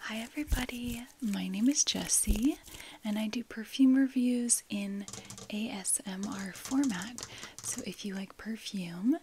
Hi, everybody. My name is Jessie, and I do perfume reviews in ASMR format. So, if you like perfume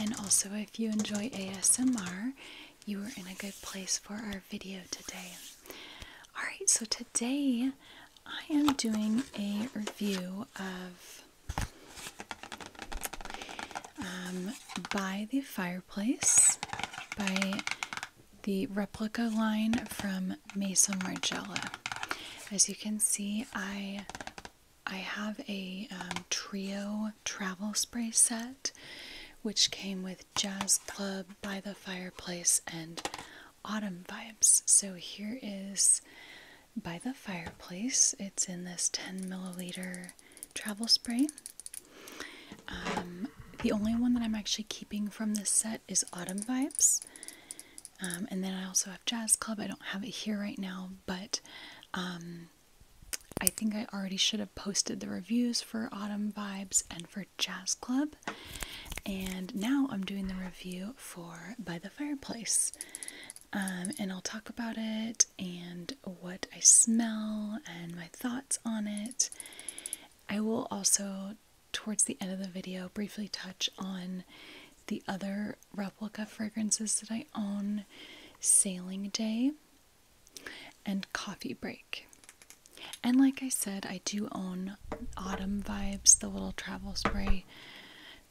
and also if you enjoy ASMR, you are in a good place for our video today. Alright, so today I am doing a review of um, by the fireplace by the replica line from Mason Margiela. As you can see, I I have a um, trio travel spray set, which came with Jazz Club by the fireplace and Autumn Vibes. So here is by the fireplace. It's in this 10 milliliter travel spray. Um, the only one that I'm actually keeping from this set is Autumn Vibes. Um, and then I also have Jazz Club. I don't have it here right now, but um, I think I already should have posted the reviews for Autumn Vibes and for Jazz Club. And now I'm doing the review for By the Fireplace. and I'll talk about it and what I smell and my thoughts on it. I will also, towards the end of the video, briefly touch on the other replica fragrances that I own Sailing Day and Coffee Break. And like I said, I do own Autumn Vibes, the little travel spray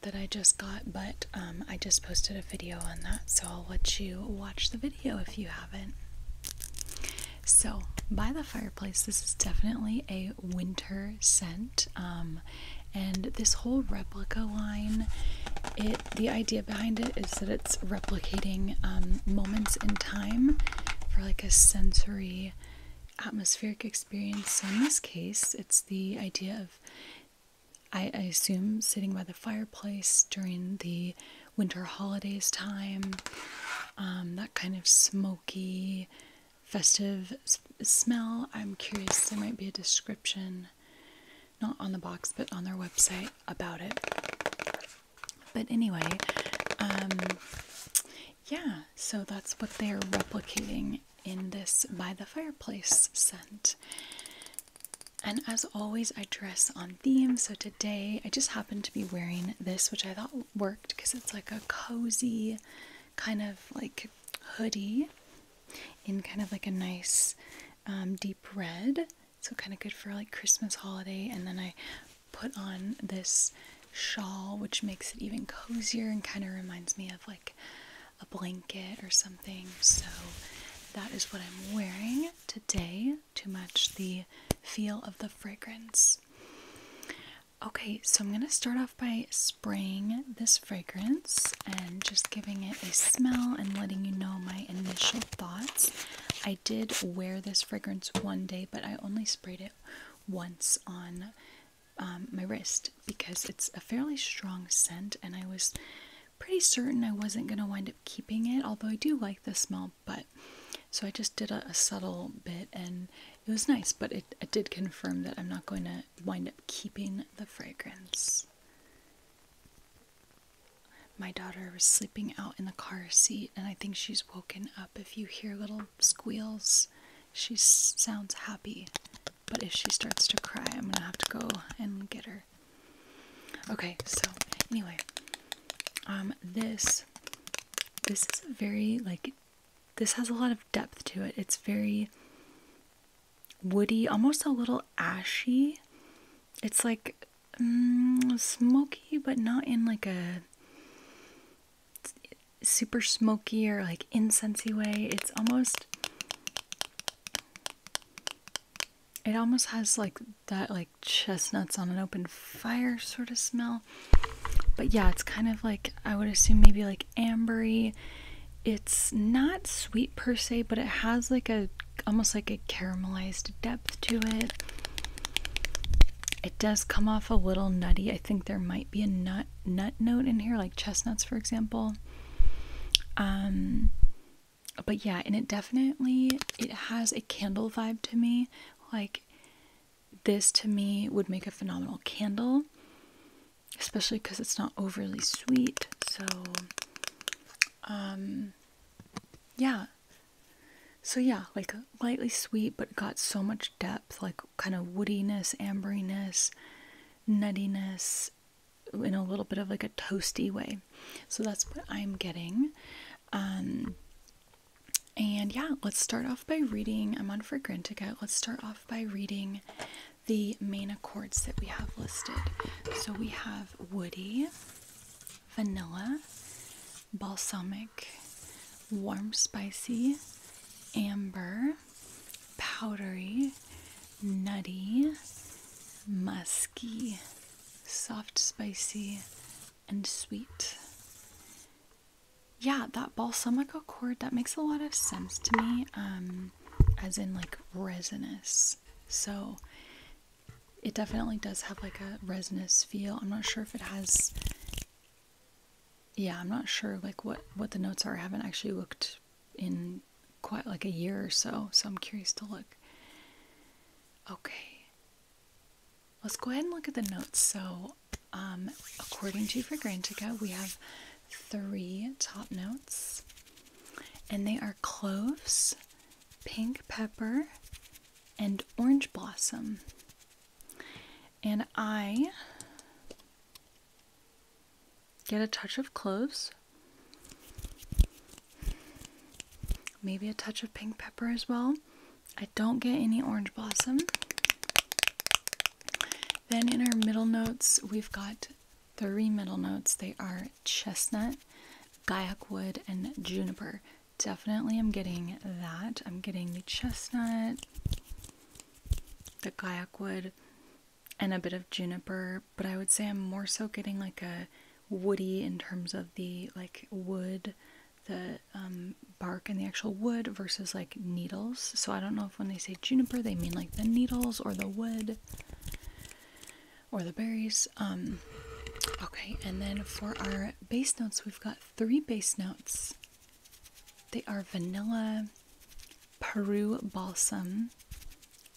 that I just got, but um, I just posted a video on that, so I'll let you watch the video if you haven't. So, by the fireplace, this is definitely a winter scent. Um, and this whole replica line, it the idea behind it is that it's replicating um, moments in time for like a sensory atmospheric experience. So in this case, it's the idea of I assume sitting by the fireplace during the winter holidays time, um, that kind of smoky, festive smell. I'm curious, there might be a description, not on the box, but on their website about it. But anyway, um, yeah, so that's what they're replicating in this by the fireplace scent. And as always, I dress on theme. So today I just happened to be wearing this, which I thought worked because it's like a cozy kind of like hoodie in kind of like a nice um, deep red. So kind of good for like Christmas holiday. And then I put on this shawl, which makes it even cozier and kind of reminds me of like a blanket or something. So that is what I'm wearing today to match the feel of the fragrance. Okay, so I'm going to start off by spraying this fragrance and just giving it a smell and letting you know my initial thoughts. I did wear this fragrance one day, but I only sprayed it once on um, my wrist because it's a fairly strong scent and I was pretty certain I wasn't going to wind up keeping it, although I do like the smell, but so I just did a, a subtle bit and it was nice, but it, it did confirm that I'm not going to wind up keeping the fragrance. My daughter was sleeping out in the car seat, and I think she's woken up. If you hear little squeals, she sounds happy. But if she starts to cry, I'm gonna have to go and get her. Okay, so anyway, um, this this is very like this has a lot of depth to it. It's very woody, almost a little ashy. It's like mm, smoky, but not in like a super smoky or like incensey way. It's almost it almost has like that like chestnuts on an open fire sort of smell but yeah it's kind of like i would assume maybe like ambery it's not sweet per se but it has like a almost like a caramelized depth to it it does come off a little nutty i think there might be a nut nut note in here like chestnuts for example um but yeah, and it definitely it has a candle vibe to me. Like this to me would make a phenomenal candle, especially because it's not overly sweet. So, um, yeah. So yeah, like lightly sweet, but got so much depth, like kind of woodiness, amberiness, nuttiness, in a little bit of like a toasty way so that's what I'm getting. Um, and yeah, let's start off by reading. I'm on Fragrantica. Let's start off by reading the main accords that we have listed. So we have woody, vanilla, balsamic, warm spicy, amber, powdery, nutty, musky, soft, spicy, and sweet. Yeah, that balsamic accord that makes a lot of sense to me, um, as in like resinous. So it definitely does have like a resinous feel. I'm not sure if it has. Yeah, I'm not sure like what what the notes are. I haven't actually looked in quite like a year or so, so I'm curious to look. Okay. Let's go ahead and look at the notes. So, um, according to Fragrantica, we have three top notes, and they are cloves, pink pepper, and orange blossom. And I get a touch of cloves. Maybe a touch of pink pepper as well. I don't get any orange blossom. Then in our middle notes, we've got three middle notes. They are chestnut, Gaiac wood, and juniper. Definitely I'm getting that. I'm getting the chestnut, the Gaiac wood, and a bit of juniper, but I would say I'm more so getting like a woody in terms of the like wood, the um, bark and the actual wood versus like needles. So I don't know if when they say juniper they mean like the needles or the wood or the berries. Um, okay, and then for our base notes, we've got three base notes. They are vanilla, Peru balsam,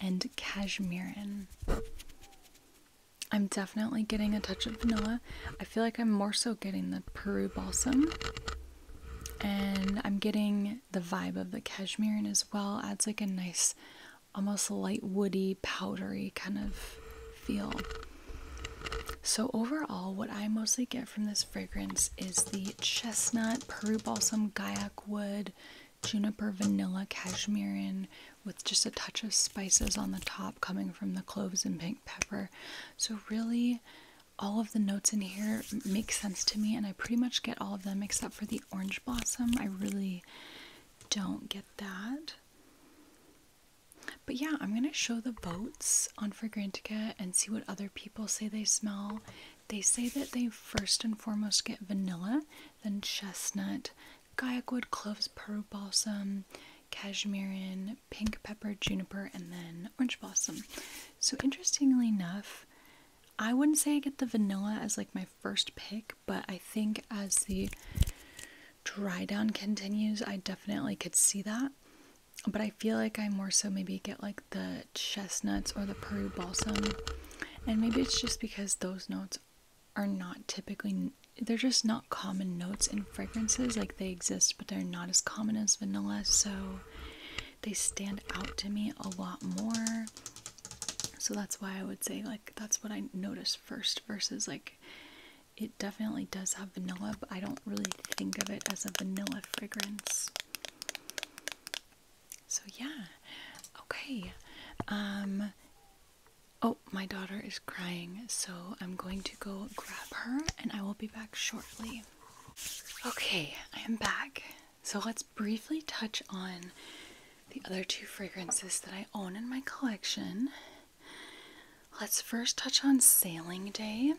and cashmerean. I'm definitely getting a touch of vanilla. I feel like I'm more so getting the Peru balsam. And I'm getting the vibe of the cashmere and as well. Adds like a nice, almost light woody, powdery kind of feel. So, overall, what I mostly get from this fragrance is the chestnut, Peru balsam, Gayak wood, juniper vanilla cashmerean with just a touch of spices on the top coming from the cloves and pink pepper. So really all of the notes in here make sense to me and I pretty much get all of them except for the orange blossom. I really don't get that. But yeah, I'm going to show the boats on Fragrantica and see what other people say they smell. They say that they first and foremost get vanilla, then chestnut, wood, cloves, Peru balsam, cashmerean, pink pepper, juniper, and then orange blossom. So interestingly enough, I wouldn't say I get the vanilla as like my first pick, but I think as the dry down continues, I definitely could see that. But I feel like I more so maybe get like the chestnuts or the Peru balsam. And maybe it's just because those notes are not typically they're just not common notes in fragrances like they exist but they're not as common as vanilla so they stand out to me a lot more so that's why i would say like that's what i notice first versus like it definitely does have vanilla but i don't really think of it as a vanilla fragrance so yeah okay um Oh, my daughter is crying, so I'm going to go grab her and I will be back shortly. Okay, I am back. So let's briefly touch on the other two fragrances that I own in my collection. Let's first touch on Sailing Day.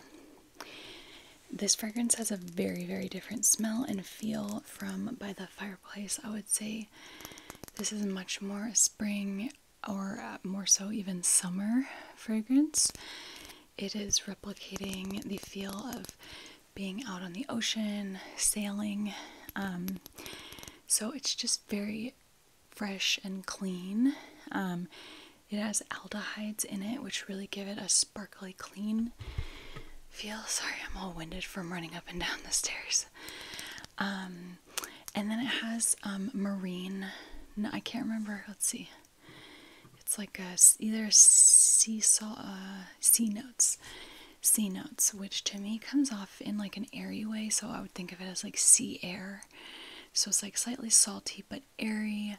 This fragrance has a very, very different smell and feel from By the Fireplace. I would say this is much more a spring or uh, more so even summer fragrance. It is replicating the feel of being out on the ocean, sailing. Um, so it's just very fresh and clean. Um, it has aldehydes in it, which really give it a sparkly clean feel. Sorry, I'm all winded from running up and down the stairs. Um, and then it has um, marine. No, I can't remember. Let's see. It's like a, either sea salt, uh, sea notes, sea notes, which to me comes off in like an airy way. So I would think of it as like sea air. So it's like slightly salty but airy.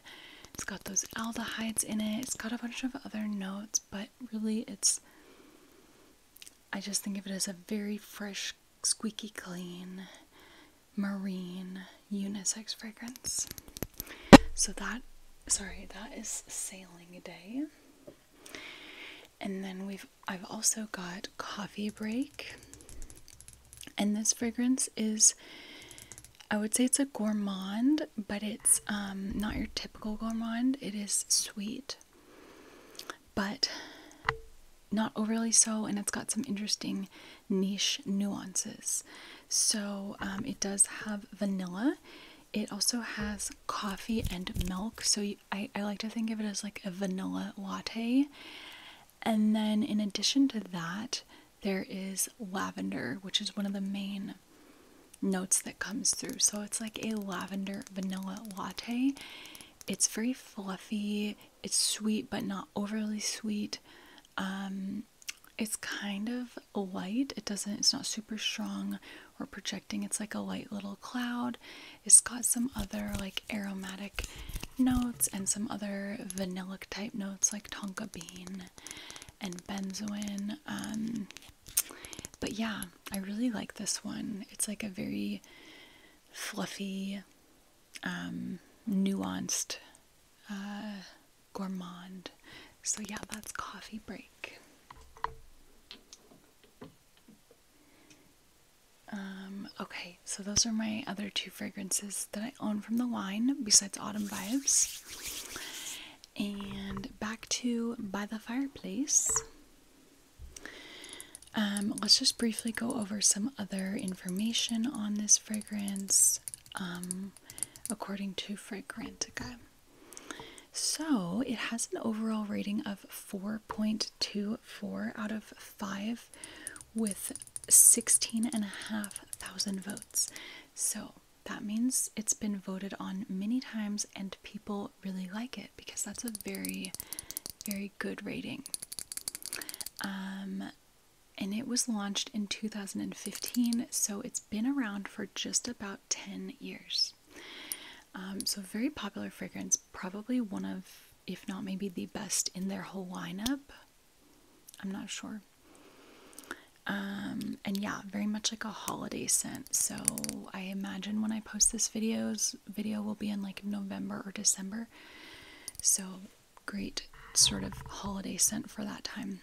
It's got those aldehydes in it. It's got a bunch of other notes, but really it's I just think of it as a very fresh, squeaky clean, marine unisex fragrance. So that, sorry, that is sailing day. And then we've I've also got coffee break. And this fragrance is I would say it's a gourmand, but it's um, not your typical gourmand. It is sweet but not overly so, and it's got some interesting niche nuances. So um, it does have vanilla. It also has coffee and milk. So I like to think of it as like a vanilla latte. And then in addition to that, there is lavender, which is one of the main notes that comes through. So it's like a lavender vanilla latte. It's very fluffy. It's sweet, but not overly sweet. Um, it's kind of light. It doesn't. It's not super strong or projecting. It's like a light little cloud. It's got some other like aromatic notes and some other vanilla type notes like tonka bean and benzoin. Um, but yeah, I really like this one. It's like a very fluffy, um, nuanced uh, gourmand. So, yeah, that's coffee break. Um, okay, so those are my other two fragrances that I own from the wine, besides Autumn Vibes. And back to By the Fireplace. Um, let's just briefly go over some other information on this fragrance um, according to Fragrantica. So it has an overall rating of 4.24 out of 5 with 16,500 votes. So that means it's been voted on many times and people really like it because that's a very, very good rating. Um, and it was launched in 2015, so it's been around for just about 10 years. Um, so, very popular fragrance, probably one of, if not maybe the best in their whole lineup. I'm not sure. Um, and yeah, very much like a holiday scent. So, I imagine when I post this videos, video will be in like November or December. So, great sort of holiday scent for that time.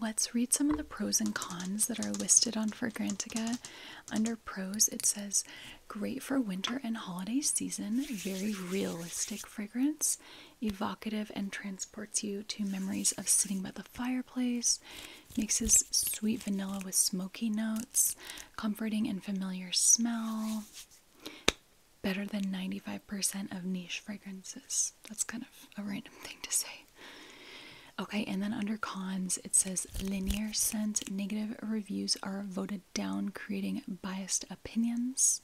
Let's read some of the pros and cons that are listed on Fragrantica. Under pros, it says great for winter and holiday season, very realistic fragrance, evocative and transports you to memories of sitting by the fireplace, mixes sweet vanilla with smoky notes, comforting and familiar smell. Better than 95% of niche fragrances. That's kind of a random thing to say. Okay, and then under cons, it says linear scent negative reviews are voted down, creating biased opinions.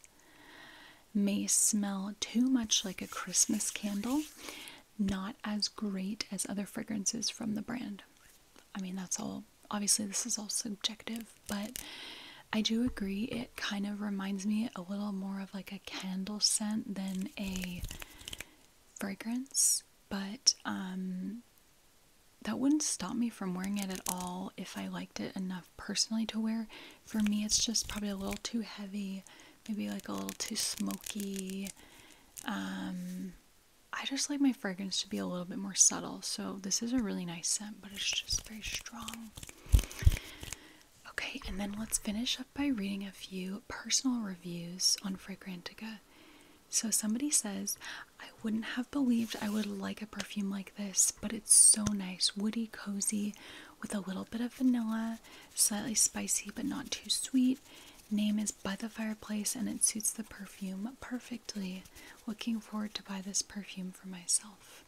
May smell too much like a Christmas candle, not as great as other fragrances from the brand. I mean, that's all. Obviously, this is all subjective, but I do agree it kind of reminds me a little more of like a candle scent than a fragrance, but um, that wouldn't stop me from wearing it at all if I liked it enough personally to wear. For me, it's just probably a little too heavy, maybe like a little too smoky. Um, I just like my fragrance to be a little bit more subtle. So this is a really nice scent, but it's just very strong. Okay, and then let's finish up by reading a few personal reviews on Fragrantica. So somebody says, I wouldn't have believed I would like a perfume like this, but it's so nice, woody, cozy, with a little bit of vanilla, slightly spicy but not too sweet. Name is by the fireplace and it suits the perfume perfectly. Looking forward to buy this perfume for myself.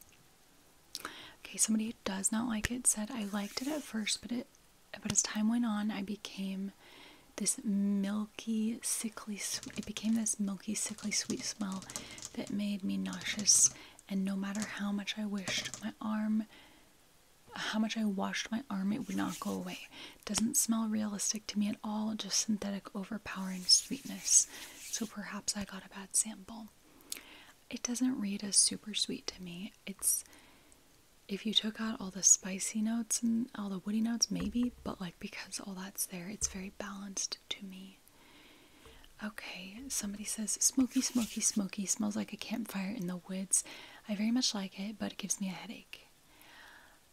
Okay, somebody does not like it said I liked it at first, but it but as time went on, I became this milky, sickly. sweet. It became this milky, sickly sweet smell that made me nauseous. And no matter how much I wished, my arm, how much I washed my arm, it would not go away doesn't smell realistic to me at all, just synthetic, overpowering sweetness. So perhaps I got a bad sample. It doesn't read as super sweet to me. It's if you took out all the spicy notes and all the woody notes, maybe, but like because all that's there, it's very balanced to me. Okay, somebody says smoky, smoky, smoky, smells like a campfire in the woods. I very much like it, but it gives me a headache.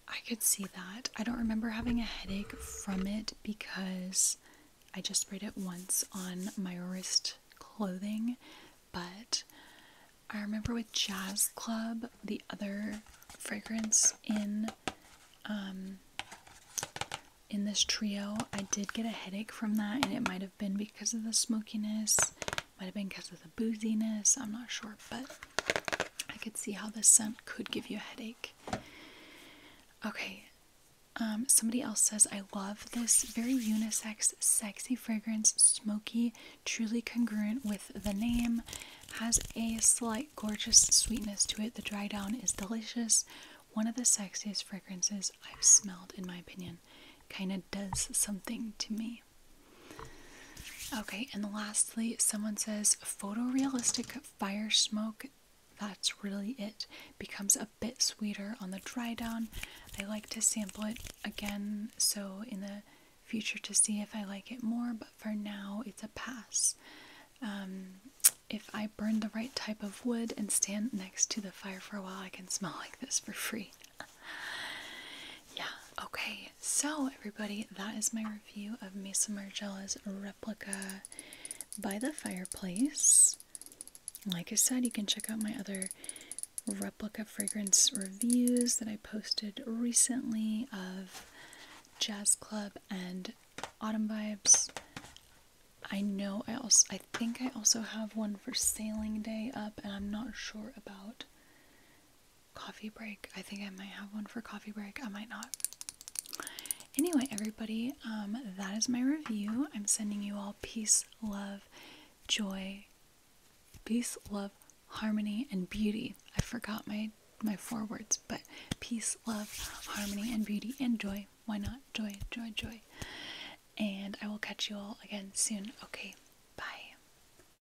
I could see that. I don't remember having a headache from it because I just sprayed it once on my wrist clothing, but I remember with Jazz Club, the other fragrance in um, in this trio, I did get a headache from that and it might have been because of the smokiness might have been because of the booziness, I'm not sure, but I could see how this scent could give you a headache. Okay, um, somebody else says, I love this very unisex, sexy fragrance, smoky, truly congruent with the name. Has a slight gorgeous sweetness to it. The dry down is delicious. One of the sexiest fragrances I've smelled, in my opinion. Kind of does something to me. Okay, and lastly, someone says photorealistic fire smoke. That's really it. Becomes a bit sweeter on the dry down. I like to sample it again, so in the future to see if I like it more, but for now it's a pass. Um, if I burn the right type of wood and stand next to the fire for a while, I can smell like this for free. yeah, okay, so everybody, that is my review of Mesa Margella's replica by the fireplace. Like I said, you can check out my other replica fragrance reviews that I posted recently of Jazz Club and Autumn Vibes. I know I also I think I also have one for Sailing Day up and I'm not sure about coffee break. I think I might have one for coffee break. I might not. Anyway, everybody, um, that is my review. I'm sending you all peace, love, joy, peace, love, harmony, and beauty. I forgot my my four words, but peace, love, harmony, and beauty, and joy. Why not? Joy, joy, joy. And I will catch you all again soon. Okay, bye.